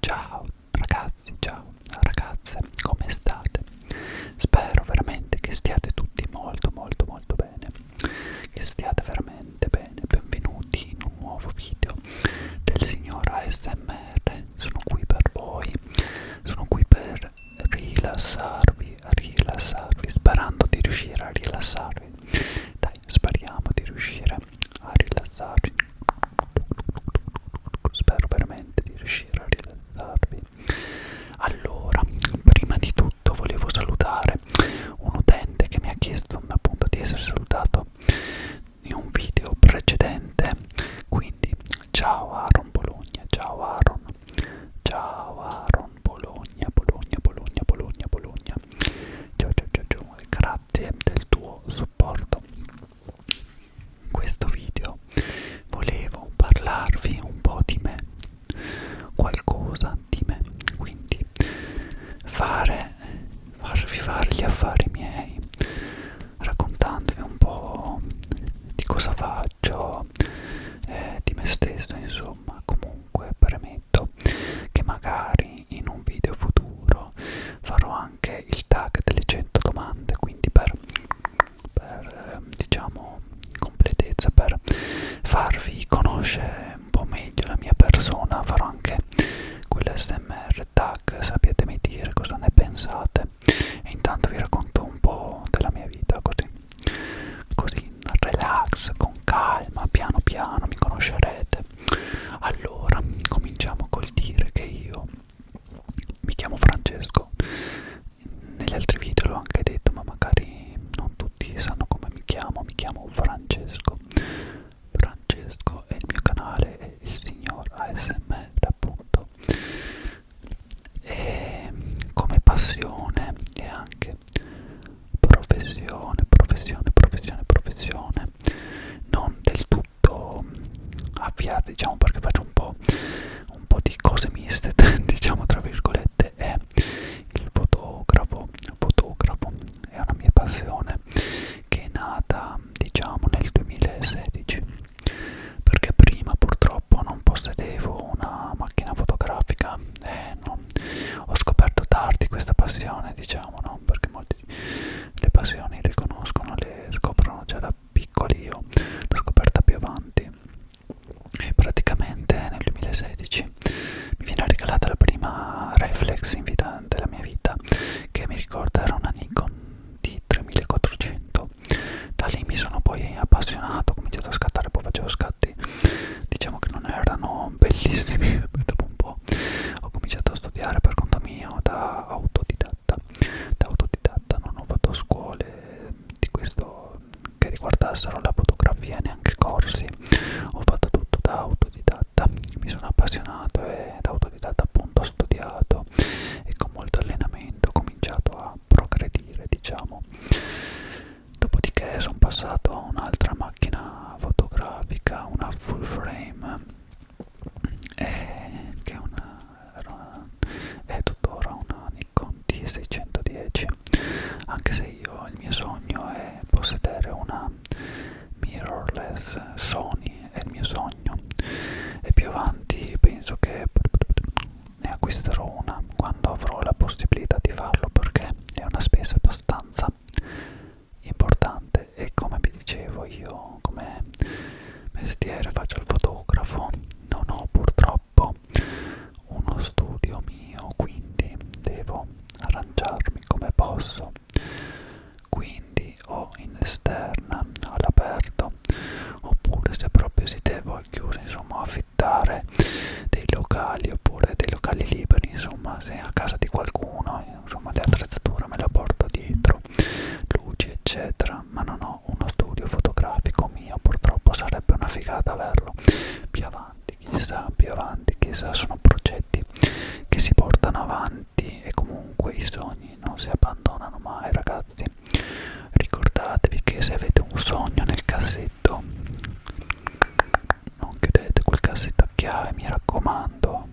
Ciao ragazzi, ciao ragazze, come state? Spero veramente che stiate tutti molto molto molto bene, che stiate veramente bene, benvenuti in un nuovo video del signor ASMR, sono qui per voi, sono qui per rilassarvi, di rilassarvi, sperando di riuscire a rilassarvi. Dai, speriamo di riuscire a rilassarvi. Spero veramente di riuscire a rilassarvi. Allora, prima di tutto volevo salutare un utente che mi ha chiesto appunto di essere salutato in un video precedente. Quindi, ciao Aaron Bologna, ciao Aaron, Ciao Aaron, Bologna, Bologna, Bologna, Bologna, Bologna. Ciao, ciao, ciao, ciao. Grazie del tuo supporto. In questo video volevo parlarvi un po' di me, qualcosa di me, quindi fare, farvi fare gli affari miei, raccontandovi un po' di cosa va viaggio, eh, di me stesso, insomma, comunque premetto che magari in un video futuro farò anche il tag delle 100 domande, quindi per, per eh, diciamo completezza, per farvi conoscere un po' meglio la mia persona, farò anche quell'SMR tag, sappiatemi dire cosa ne pensate e intanto vi racconto un po' della mia vita così così relax con calma piano piano mi conoscerete allora cominciamo col dire che io mi chiamo Francesco negli altri video l'ho anche detto ma magari non tutti sanno come mi chiamo mi chiamo Francesco Francesco e il mio canale è il signor ASMR appunto e ehm, come passione e anche professione, professione, professione, professione non del tutto avviata diciamo perché faccio un po', un po di cose miste diciamo tra virgolette è il fotografo il fotografo è una mia passione che è nata diciamo nel 2016 perché prima purtroppo non possedevo una macchina fotografica eh, no. ho scoperto tardi questa passione diciamo no perché molte le passioni le conoscono le scoprono già da piccoli io l'ho scoperta più avanti e praticamente nel 2016 mi viene regalata la prima reflex in vita della mia vita che mi ricorda era una Nikon D 3400 da lì mi sono poi appassionato ho cominciato a scattare poi facevo scatti diciamo che non erano bellissimi dopo un po' ho cominciato a studiare per conto mio da autodidatta da autodidatta non ho fatto scuole di questo che riguardassero la fotografia neanche corsi ho fatto tutto da autodidatta mi sono appassionato e da autodidatta appunto ho studiato e con molto allenamento ho cominciato a progredire scegliere diciamo dopodiché sono passato a un'altra macchina fotografica una full frame eh, che è una, una, è tuttora una Nikon D610 anche se io il mio sogno è possedere una mirrorless Sony è il mio sogno e più avanti penso che ne acquisterò una quando avrò la possibilità di farlo perché è una spesa abbastanza importante e come vi dicevo io come mestiere faccio il fotografo non ho purtroppo uno studio mio quindi devo arrangiarmi come posso quindi ho in esterna all'aperto oppure se proprio siete voi chiusi insomma affittare dei locali oppure dei locali liberi insomma se a casa di qualcuno insomma l'attrezzatura me la porto dietro luci eccetera ma non ho uno studio fotografico mio purtroppo sarebbe una figata averlo più avanti chissà più avanti chissà sono progetti che si portano avanti e comunque i sogni non si abbandonano mai ragazzi questi ricordatevi che se avete un sogno nel cassetto non chiudete quel cassetto a chiave mi raccomando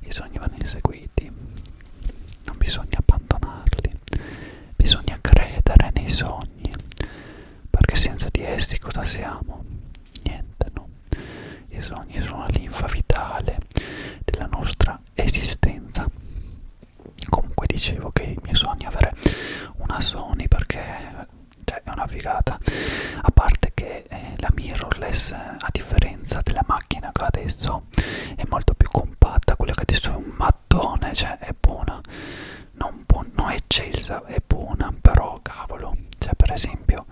i sogni vanno inseguiti non bisogna abbandonarli bisogna credere nei sogni perché senza di essi cosa siamo? niente no i sogni sono la linfa vitale della nostra esistenza comunque dicevo che il mio sogno è avere una Sony perché cioè, è una figata a parte che eh, la mirrorless eh, a differenza della macchina che ho adesso è molto più compatta quella che adesso è un mattone cioè è buona non, bu non è eccelsa è buona però cavolo cioè per esempio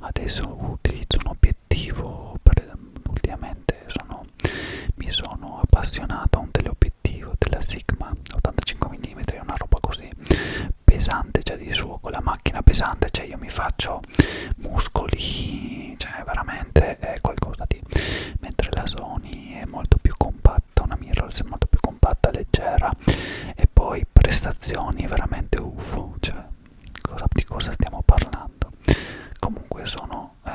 adesso utilizzo un obiettivo per, ultimamente sono, mi sono appassionato a un teleobiettivo della Sigma 85 mm, è una roba così pesante, cioè di suo con la macchina pesante, cioè io mi faccio muscoli, cioè veramente è qualcosa di... mentre la Sony è molto più compatta, una mirrorless è molto più compatta, leggera e poi prestazioni veramente UFO, cioè cosa, di cosa stiamo parlando? Comunque sono sono eh,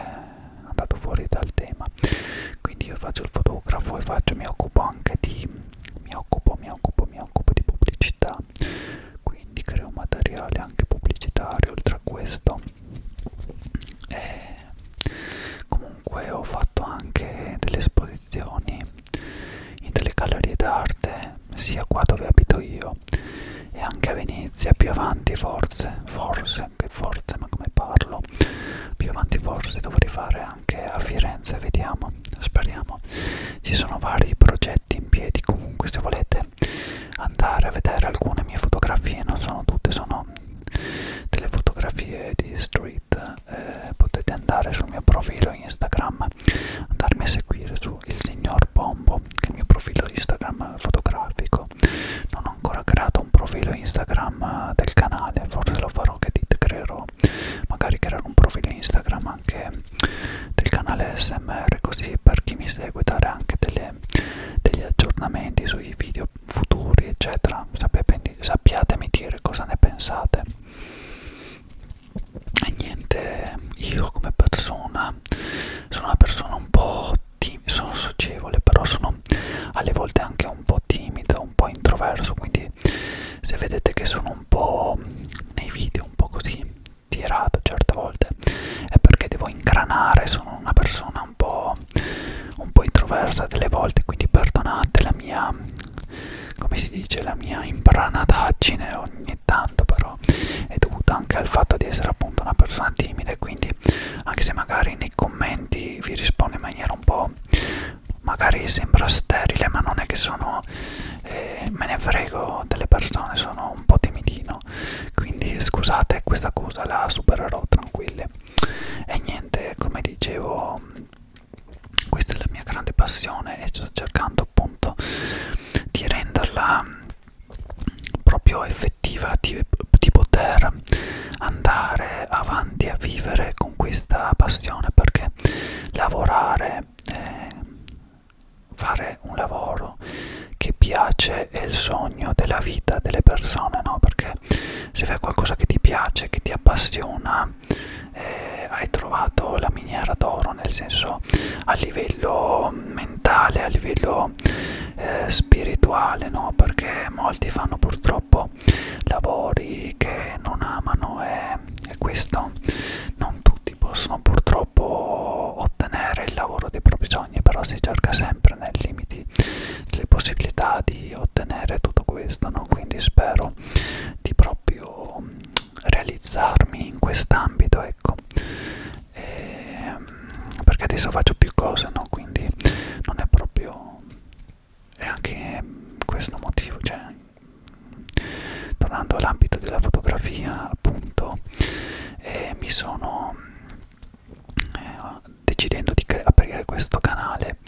andato fuori dal tema quindi io faccio il fotografo e faccio, mi occupo anche di mi occupo mi occupo mi occupo di pubblicità quindi creo materiale anche pubblicitario oltre a questo e comunque ho fatto anche delle esposizioni in delle gallerie d'arte sia qua dove abito io bello e anche a Venezia più avanti forse forse che forse ma come parlo più avanti forse dovrei fare anche a Firenze vediamo speriamo ci sono vari progetti in piedi comunque se volete andare a vedere alcune mie fotografie non sono tutte sono delle fotografie di street eh, potete andare sul mio profilo Instagram andarmi a seguire su il signor Pombo che è il mio profilo Instagram fotografico non ho ancora creato un profilo Instagram eh, del canale forse lo farò che dite creerò magari creare un profilo Instagram anche del canale SMR così per chi mi segue dare anche delle, degli aggiornamenti sui video futuri eccetera sappiatemi dire cosa ne pensate e niente io come persona sono una persona un po' sono socievole, però sono alle volte anche un po' timida, un po' introverso, quindi se vedete che sono un po' nei video, un po' così tirato certe volte, è perché devo ingranare, sono una persona un po', un po introversa delle volte, quindi perdonate la mia, come si dice, la mia imbranataggine ogni tanto, però però è dovuta anche al fatto di essere appunto una persona timida e quindi anche se magari nei commenti vi risponde in maniera un po' magari sembra sterile ma non è che sono eh, me ne frego delle persone sono un po' timidino quindi scusate questa cosa la supererò tranquilli e niente come dicevo questa è la mia grande passione e sto cercando appunto di renderla proprio effettiva di, di poter andare avanti a vivere con questa passione perché lavorare eh, fare un lavoro che piace è il sogno della vita delle persone no perché se fai qualcosa che ti piace che ti appassiona eh, hai trovato la miniera d'oro nel senso a livello mentale a livello po' eh, spirituale, no? perché molti fanno purtroppo lavori che non amano e, e questo non tutti possono purtroppo ottenere il lavoro dei propri sogni, però si cerca sempre nei limiti delle possibilità di ottenere tutto questo, no? quindi spero di proprio realizzarmi in quest'ambito, ecco e, ehm, perché adesso faccio più cose no quindi non è proprio è anche questo motivo cioè tornando all'ambito della fotografia appunto eh, mi sono eh, decidendo di aprire questo canale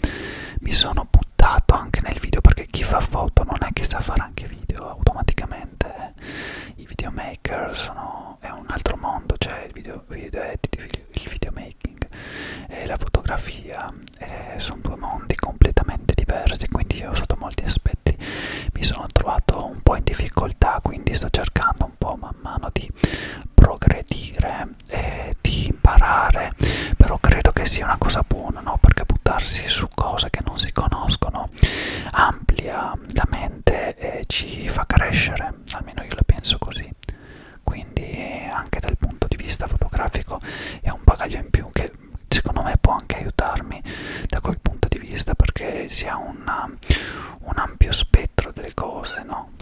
mi sono buttato anche nel video perché chi fa foto non è che sa fare anche video automaticamente veramente eh. i videomaker sono è un altro mondo cioè il video, video editing il videomaking e la fotografia eh, sono due mondi completamente diversi quindi io sotto molti aspetti mi sono trovato un po' in difficoltà quindi sto cercando un po' man mano di progredire e di imparare però credo che sia una cosa buona no perché buttarsi su cose che non si conoscono no? amplia la mente e ci fa crescere, almeno io la penso così. Quindi anche dal punto di vista fotografico è un bagaglio in più che secondo me può anche aiutarmi da quel punto di vista perché si ha una, un ampio spettro delle cose, no?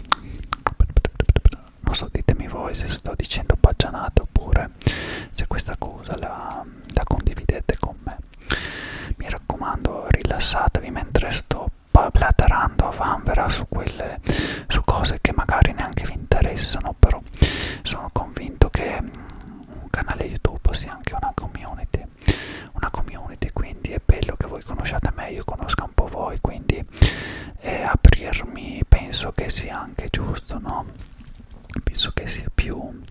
Non so, ditemi voi se sto dicendo paggianate oppure se questa cosa la, la condividete con me. Mi raccomando raccomando rilassatevi mentre sto blaterando a vanvera su, quelle, su cose che magari neanche vi interessano però sono convinto che mm, un canale youtube sia anche una community una community quindi è bello che voi conosciate me io conosca un po' voi quindi eh, aprirmi penso che sia anche giusto no penso che sia più,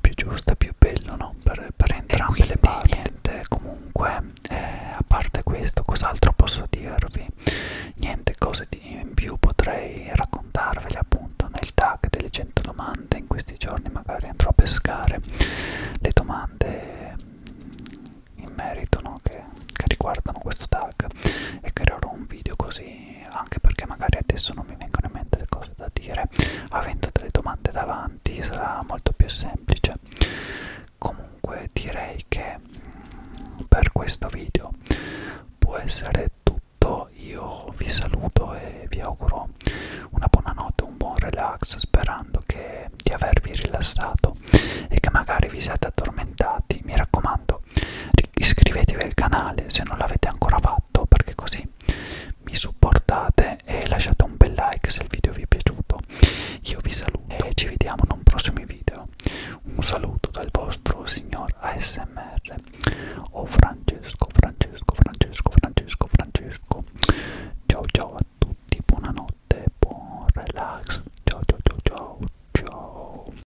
più giusta, più bello no? per, per entrambe le parti. Niente, comunque, eh, a parte questo, cos'altro posso dirvi? Niente cose di, in più potrei raccontarvele appunto nel tag delle 100 domande. In questi giorni magari andrò a pescare le domande in merito no? che, che riguardano questo tag e creerò un video così anche perché magari adesso non mi vengono in mente le cose da dire perché avendo delle domande davanti sarà molto più semplice comunque direi che mm, per questo video può essere tutto io vi saluto e vi auguro una buona notte un buon relax sperando che di avervi rilassato e che magari vi siate addormentati mi raccomando iscrivetevi al canale se non l'avete ancora fatto perché così così mi supportate e lasciate un bel like se il video vi è piaciuto io vi saluto e ci vediamo in un prossimo video un saluto dal vostro signor ASMR o Francesco Francesco Francesco Francesco Francesco ciao ciao a tutti buonanotte buon relax ciao ciao ciao ciao ciao